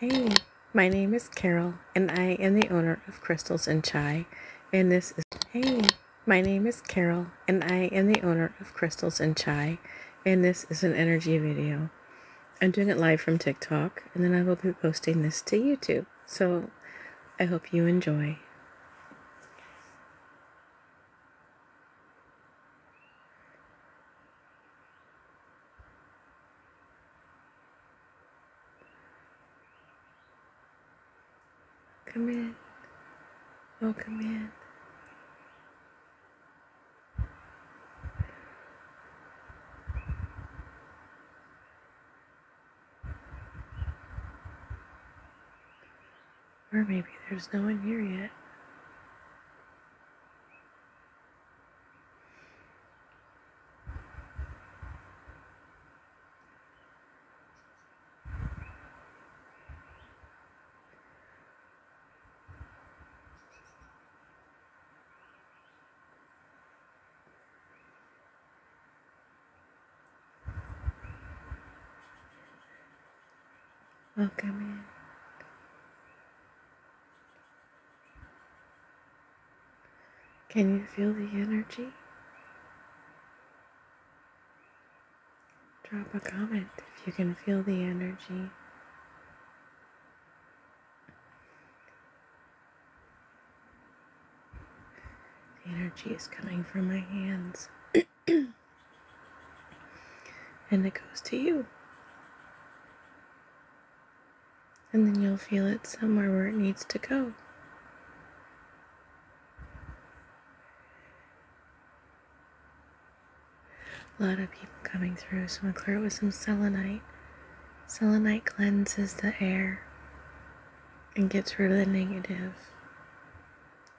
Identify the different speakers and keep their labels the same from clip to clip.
Speaker 1: Hey, my name is Carol, and I am the owner of Crystals and Chai, and this is Hey, my name is Carol, and I am the owner of Crystals and Chai, and this is an energy video. I'm doing it live from TikTok, and then I will be posting this to YouTube. So, I hope you enjoy. Come in. Oh, come in. Or maybe there's no one here yet welcoming. Can you feel the energy? Drop a comment if you can feel the energy. The energy is coming from my hands. and it goes to you. And then you'll feel it somewhere where it needs to go. A lot of people coming through, so I'm going to clear it with some selenite. Selenite cleanses the air and gets rid of the negative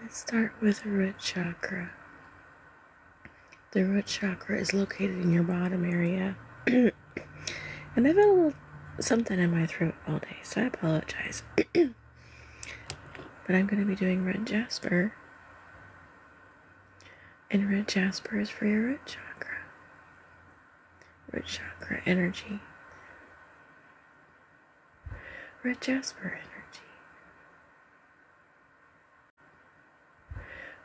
Speaker 1: Let's start with the root chakra. The root chakra is located in your bottom area. and I've had a little something in my throat all day, so I apologize. But I'm going to be doing red jasper. And red jasper is for your red chakra, red chakra energy, red jasper energy,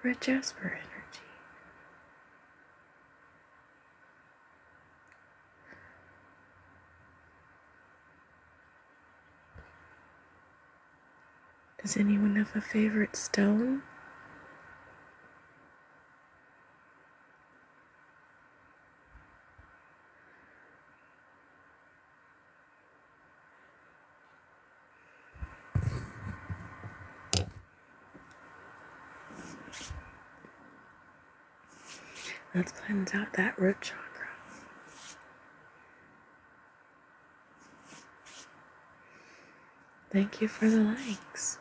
Speaker 1: red jasper energy. Does anyone have a favorite stone? Let's cleanse out that root chakra. Thank you for the likes.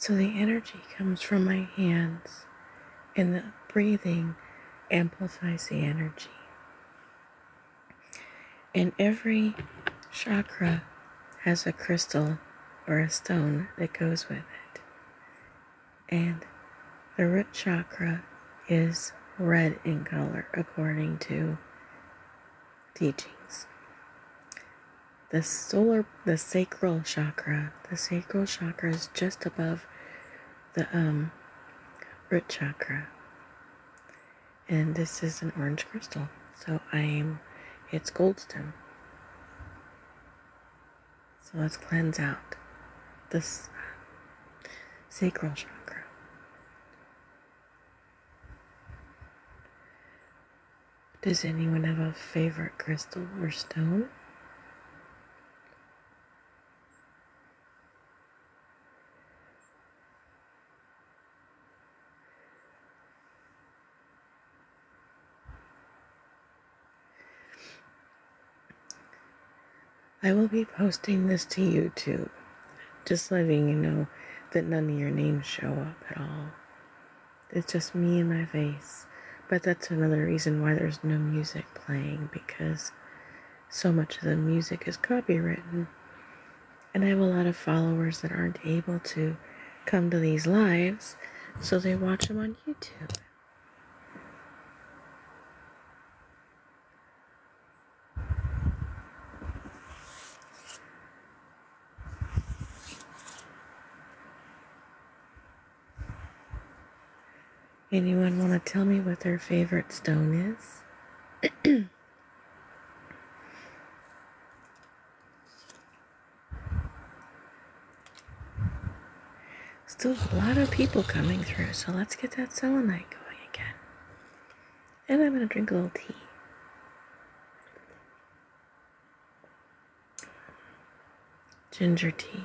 Speaker 1: So the energy comes from my hands, and the breathing amplifies the energy. And every chakra has a crystal or a stone that goes with it. And the root chakra is red in color according to teachings. The solar the sacral chakra, the sacral chakra is just above the um, root chakra. And this is an orange crystal. So I'm, it's goldstone. So let's cleanse out this uh, sacral chakra. Does anyone have a favorite crystal or stone? I will be posting this to YouTube, just letting you know that none of your names show up at all. It's just me and my face. But that's another reason why there's no music playing because so much of the music is copywritten. And I have a lot of followers that aren't able to come to these lives, so they watch them on YouTube. Anyone want to tell me what their favorite stone is? Still a lot of people coming through, so let's get that selenite going again. And I'm going to drink a little tea. Ginger tea.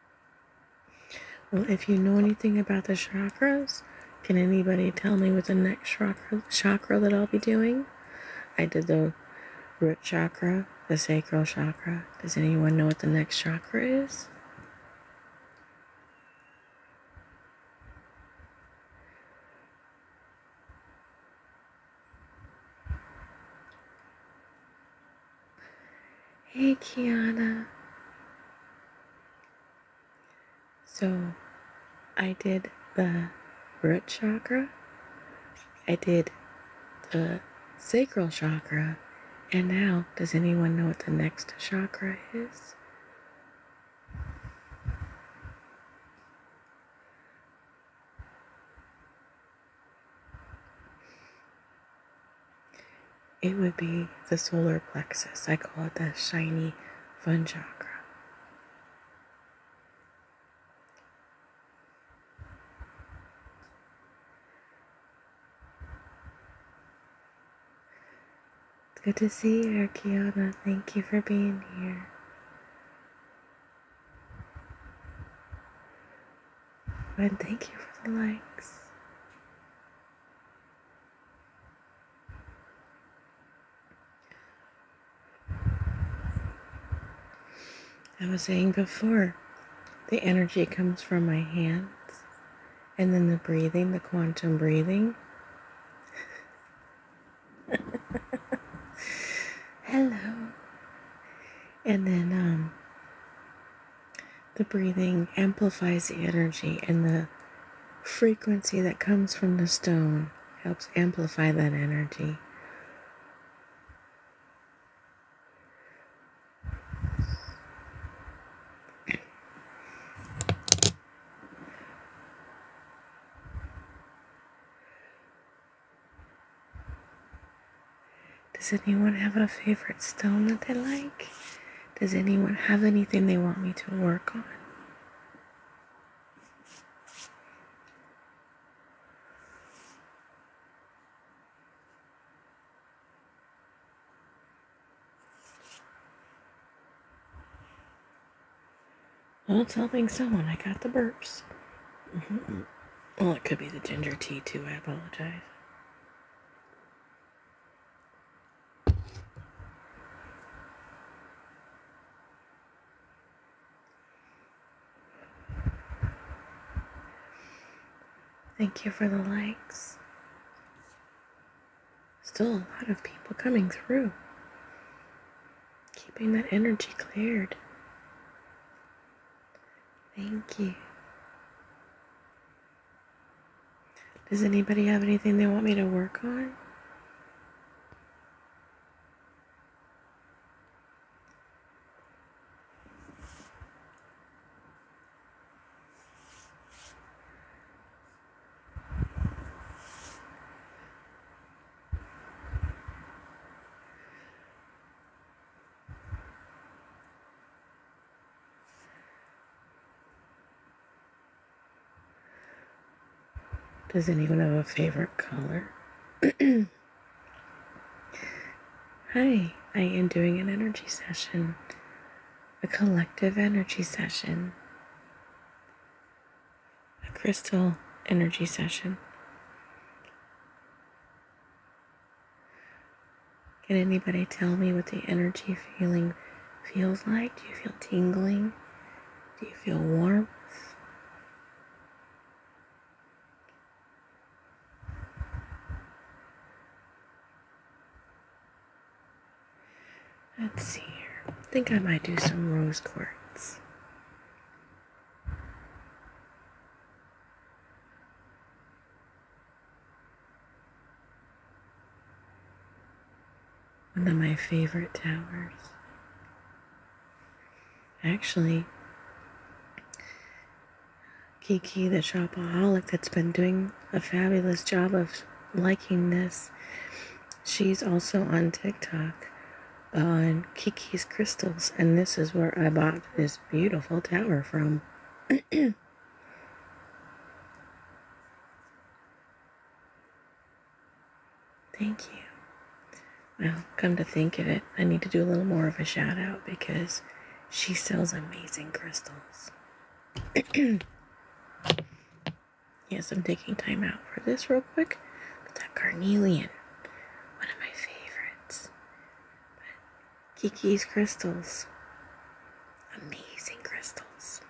Speaker 1: Well, if you know anything about the chakras, can anybody tell me what the next chakra, that I'll be doing? I did the root chakra, the sacral chakra. Does anyone know what the next chakra is? Hey, Kiana. So I did the root chakra, I did the sacral chakra, and now does anyone know what the next chakra is? It would be the solar plexus. I call it the shiny fun chakra. It's good to see you, Kiana. Thank you for being here. And thank you for the likes. I was saying before, the energy comes from my hands, and then the breathing, the quantum breathing. Hello. And then um the breathing amplifies the energy, and the frequency that comes from the stone helps amplify that energy. Does anyone have a favorite stone that they like? Does anyone have anything they want me to work on? Well, it's helping someone. I got the burps. Mm-hmm. Well, it could be the ginger tea, too. I apologize. Thank you for the likes. Still a lot of people coming through. Keeping that energy cleared. Thank you. Does anybody have anything they want me to work on? Does anyone have a favorite color? Hi, I am doing an energy session, a collective energy session, a crystal energy session. Can anybody tell me what the energy feeling feels like? Do you feel tingling? Do you feel warmth? Let's see here. think I might do some rose quartz. One of my favorite towers. Actually, Kiki the shopaholic that's been doing a fabulous job of liking this. She's also on TikTok on Kiki's Crystals, and this is where I bought this beautiful tower from. Thank you. Well, come to think of it, I need to do a little more of a shout out because she sells amazing crystals. yes, I'm taking time out for this real quick. that carnelian, one of my favorites. Kiki's crystals. Amazing crystals.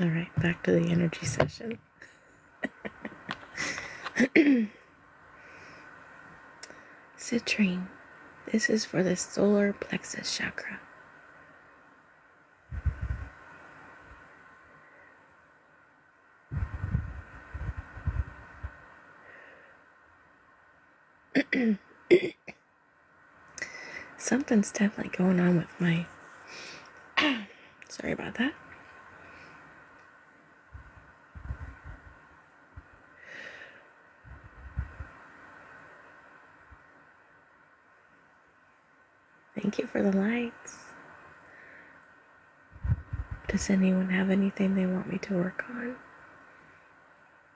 Speaker 1: All right, back to the energy session. Citrine. This is for the solar plexus chakra. Something's definitely going on with my. Sorry about that. Thank you for the lights. Does anyone have anything they want me to work on?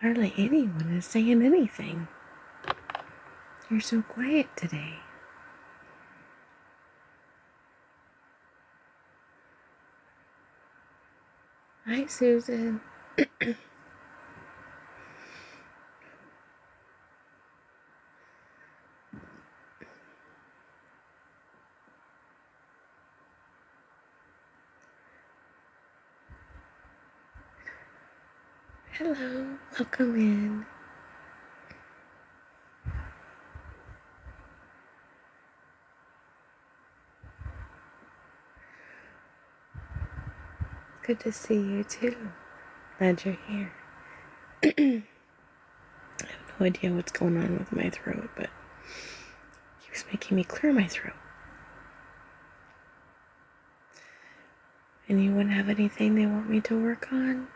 Speaker 1: Hardly anyone is saying anything. You're so quiet today. Hi, Susan. Hello, welcome in. Good to see you too. Glad you're here. I have no idea what's going on with my throat, but it keeps making me clear my throat. And you wouldn't have anything they want me to work on?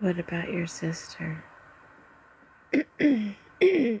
Speaker 1: What about your sister?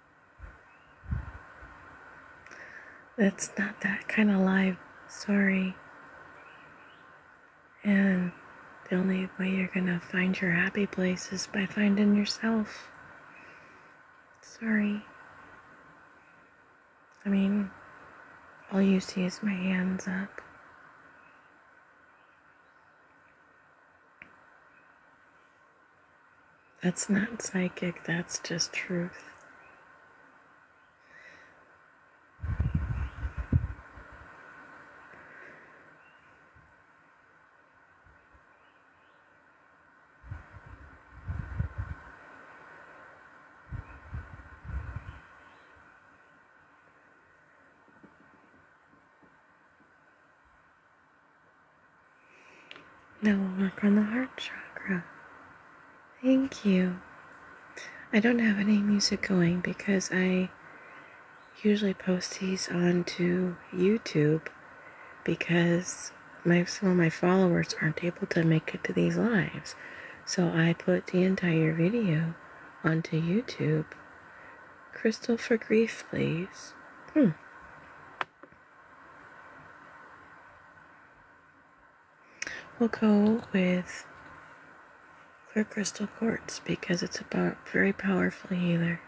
Speaker 1: That's not that kind of life. Sorry. And the only way you're going to find your happy place is by finding yourself. Sorry. I mean, all you see is my hands up. That's not psychic, that's just truth. Now we'll work on the heart chakra. Thank you. I don't have any music going because I usually post these onto YouTube because my some of my followers aren't able to make it to these lives. So I put the entire video onto YouTube. Crystal for grief, please. Hmm. We'll go with clear crystal quartz because it's a very powerful healer.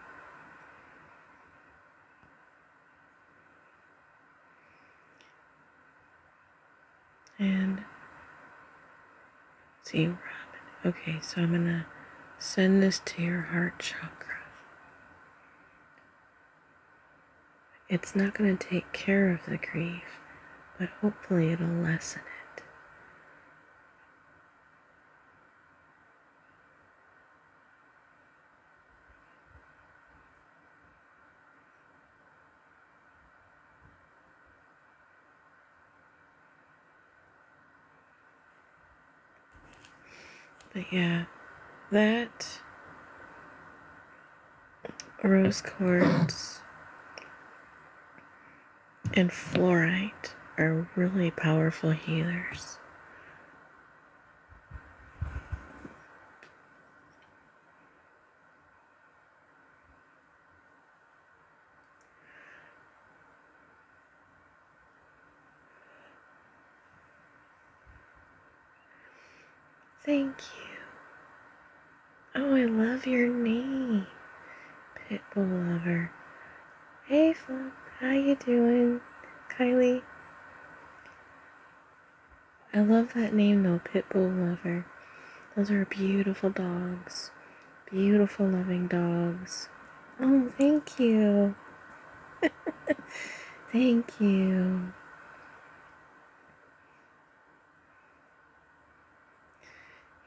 Speaker 1: And see, Robin. Okay, so I'm going to send this to your heart chakra. It's not going to take care of the grief, but hopefully it'll lessen it. But yeah, that rose quartz and fluorite are really powerful healers. Thank you. Oh, I love your name, Pitbull Lover. Hey, Flip, how you doing? Kylie? I love that name, though, Pitbull Lover. Those are beautiful dogs. Beautiful, loving dogs. Oh, thank you. thank you.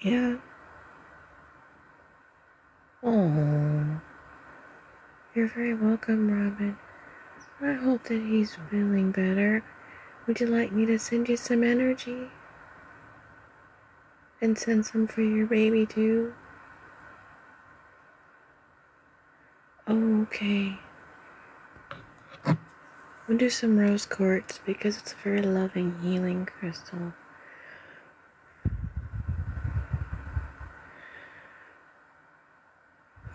Speaker 1: Yeah. Oh. You're very welcome, Robin. I hope that he's feeling better. Would you like me to send you some energy? And send some for your baby, too? Oh, okay. We'll do some rose quartz because it's a very loving, healing crystal.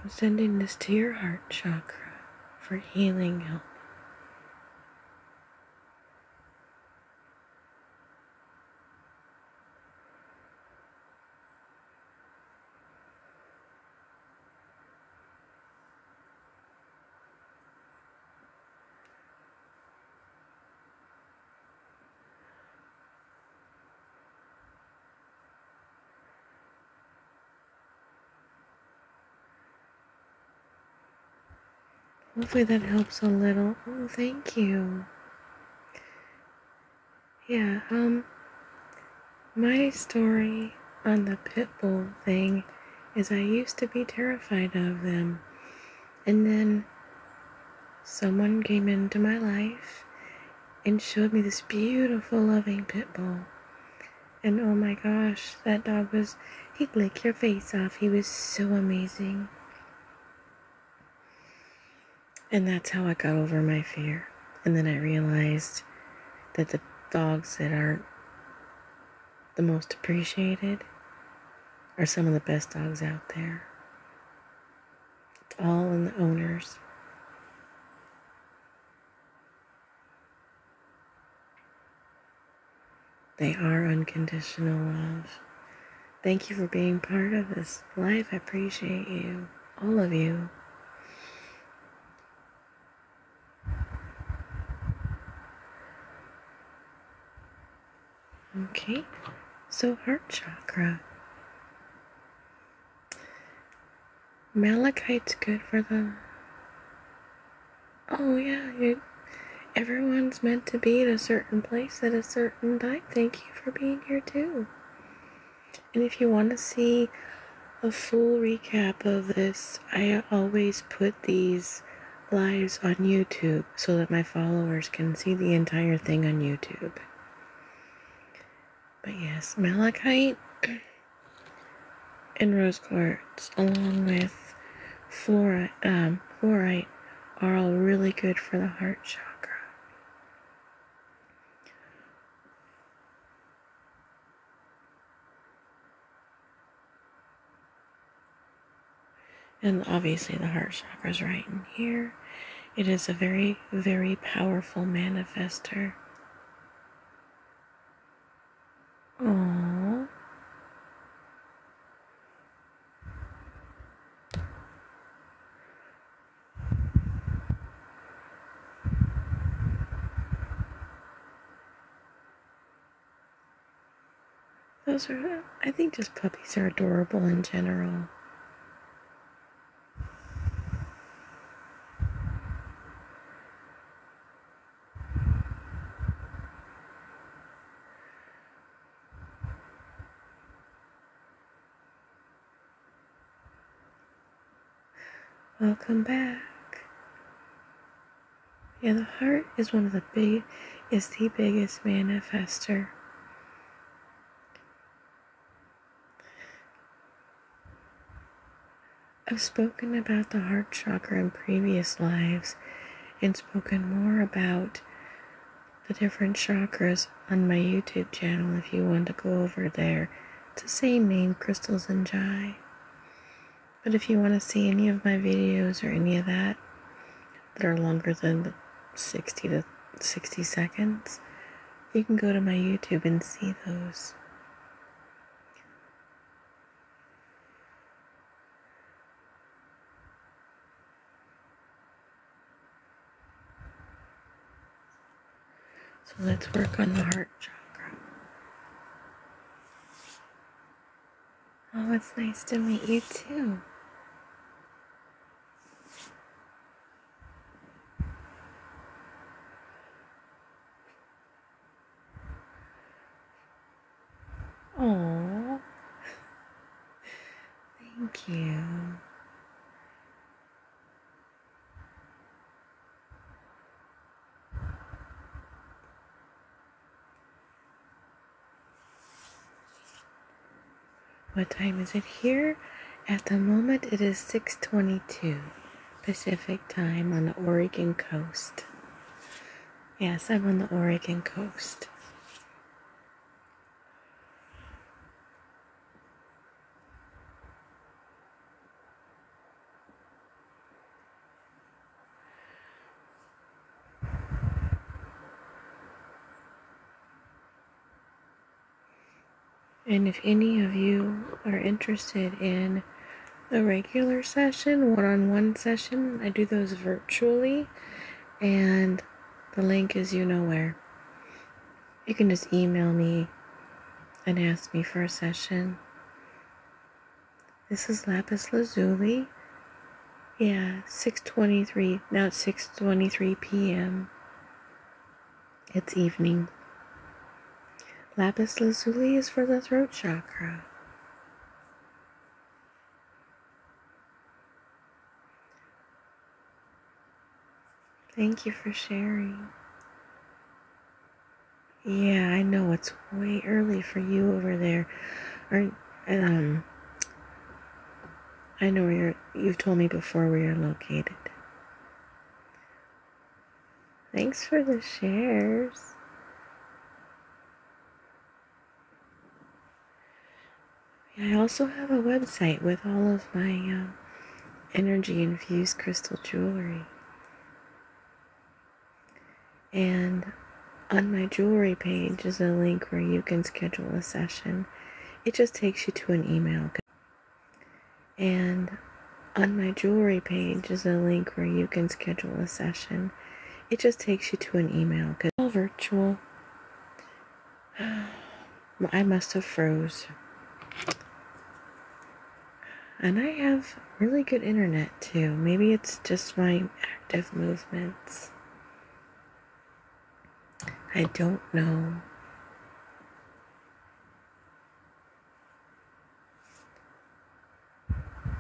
Speaker 1: I'm sending this to your heart chakra for healing help. Hopefully that helps a little. Oh, thank you. Yeah, um, my story on the pit bull thing is I used to be terrified of them. And then someone came into my life and showed me this beautiful, loving pit bull. And oh my gosh, that dog was, he licked your face off. He was so amazing. And that's how I got over my fear. And then I realized that the dogs that are the most appreciated are some of the best dogs out there. It's all in the owners. They are unconditional love. Thank you for being part of this life. I appreciate you, all of you. Okay, so heart chakra. Malachite's good for the. Oh, yeah, everyone's meant to be in a certain place at a certain time. Thank you for being here, too. And if you want to see a full recap of this, I always put these lives on YouTube so that my followers can see the entire thing on YouTube. But yes, malachite and rose quartz, along with fluorite, um, fluorite, are all really good for the heart chakra. And obviously, the heart chakra is right in here. It is a very, very powerful manifester. Aww. Those are, I think just puppies are adorable in general. Welcome back. Yeah, the heart is one of the big, is the biggest manifester. I've spoken about the heart chakra in previous lives and spoken more about the different chakras on my YouTube channel if you want to go over there. to the same name, Crystals and Jai. But if you want to see any of my videos or any of that that are longer than 60 to 60 seconds, you can go to my YouTube and see those. So let's work on the heart chakra. Oh, it's nice to meet you too. Oh, thank you. What time is it here? At the moment it is 6:22 Pacific time on the Oregon coast. Yes, I'm on the Oregon coast. And if any of you are interested in a regular session, one on one session, I do those virtually, and the link is you know where you can just email me and ask me for a session. This is Lapis Lazuli. Yeah, 6:23. Now it's 6:23 p.m. It's evening. Lapis Lazuli is for the throat chakra. Thank you for sharing. Yeah, I know it's way early for you over there. Or um I know where you're you've told me before where you're located. Thanks for the shares. I also have a website with all of my um, energy infused crystal jewelry. And on my jewelry page is a link where you can schedule a session. It just takes you to an email. And on my jewelry page is a link where you can schedule a session. It just takes you to an email. It's all virtual. I must have froze. And I have really good internet too. Maybe it's just my active movements. I don't know.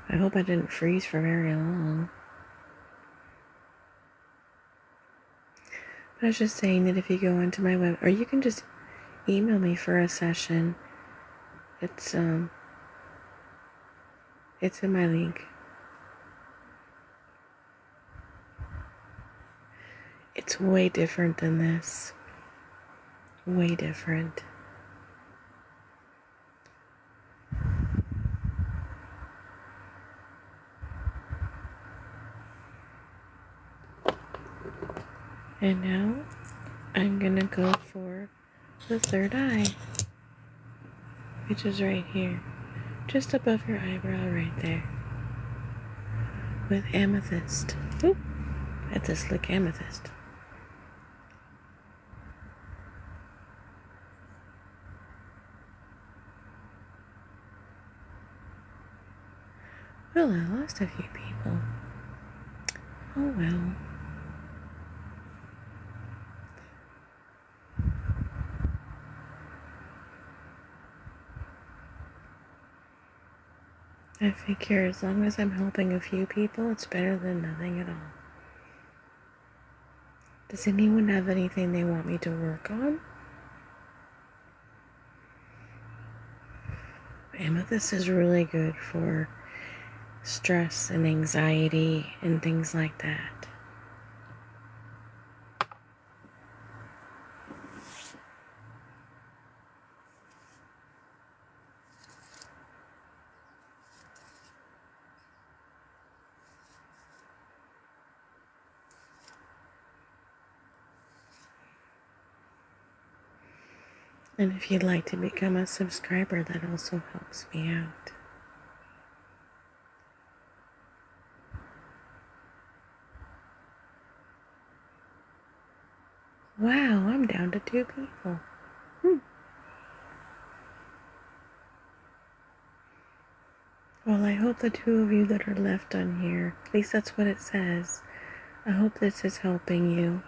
Speaker 1: I hope I didn't freeze for very long. But I was just saying that if you go onto my web, or you can just email me for a session. It's um, it's in my link. It's way different than this. Way different. And now I'm going to go for the third eye, which is right here, just above your eyebrow right there, with amethyst. Oop, at this slick amethyst. Well, I lost a few people. Oh well. I figure as long as I'm helping a few people, it's better than nothing at all. Does anyone have anything they want me to work on? Amethyst is really good for stress and anxiety and things like that. And if you'd like to become a subscriber, that also helps me out. Wow, I'm down to two people. Hmm. Well, I hope the two of you that are left on here, at least that's what it says. I hope this is helping you.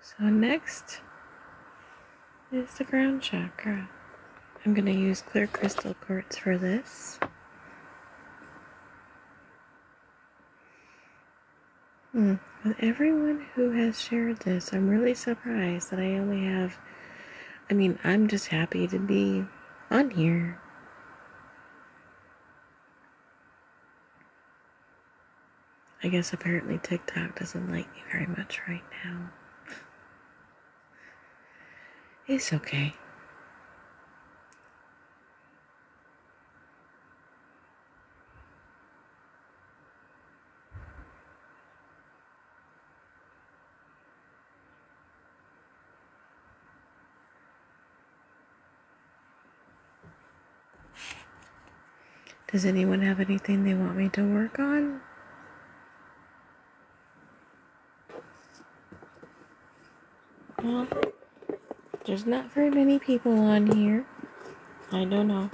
Speaker 1: So next is the ground chakra. I'm going to use clear crystal quartz for this. Hmm, with everyone who has shared this, I'm really surprised that I only have. I mean, I'm just happy to be on here. I guess apparently TikTok doesn't like me very much right now. It's okay. Does anyone have anything they want me to work on? Well, there's not very many people on here. I don't know.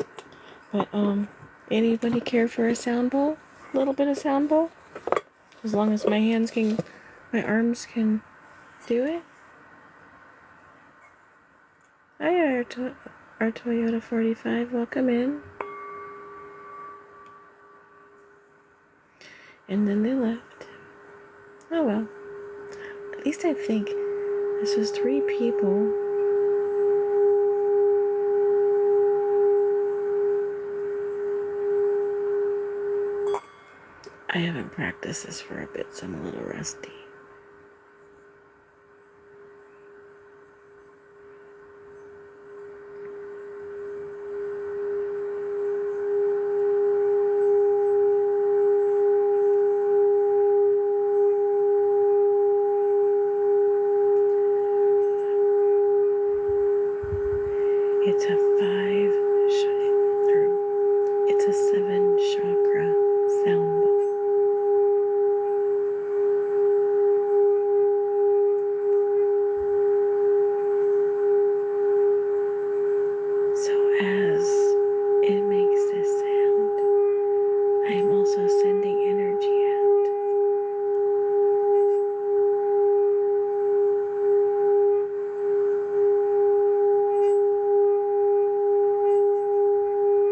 Speaker 1: But, um, anybody care for a sound bowl? A little bit of sound bowl? As long as my hands can, my arms can do it? Hi, our, our Toyota 45. Welcome in. And then they left. Oh well. At least I think this was three people. I haven't practiced this for a bit, so I'm a little rusty. It's a five, or it's a seven chakra sound so, as it makes this sound, I am also sending energy out.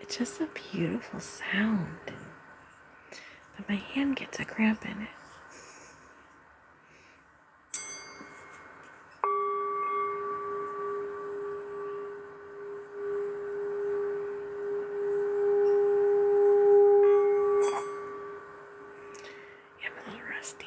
Speaker 1: It's just a beautiful sound. But my hand gets a cramp in it. I'm a little rusty.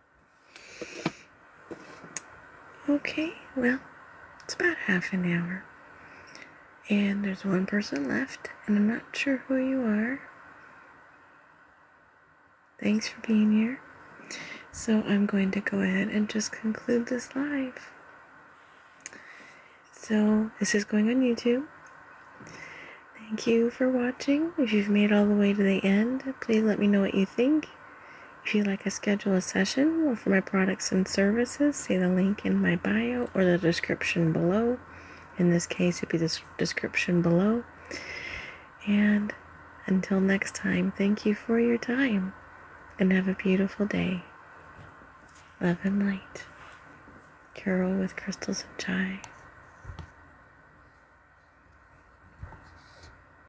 Speaker 1: Okay, well, it's about half an hour. And there's one person left, and I'm not sure who you are. Thanks for being here. So I'm going to go ahead and just conclude this live. So this is going on YouTube. Thank you for watching. If you've made all the way to the end, please let me know what you think. If you'd like to schedule a session for my products and services, see the link in my bio or the description below. In this case, it would be the description below. And until next time, thank you for your time and have a beautiful day. Love and light. Carol with crystals and chai.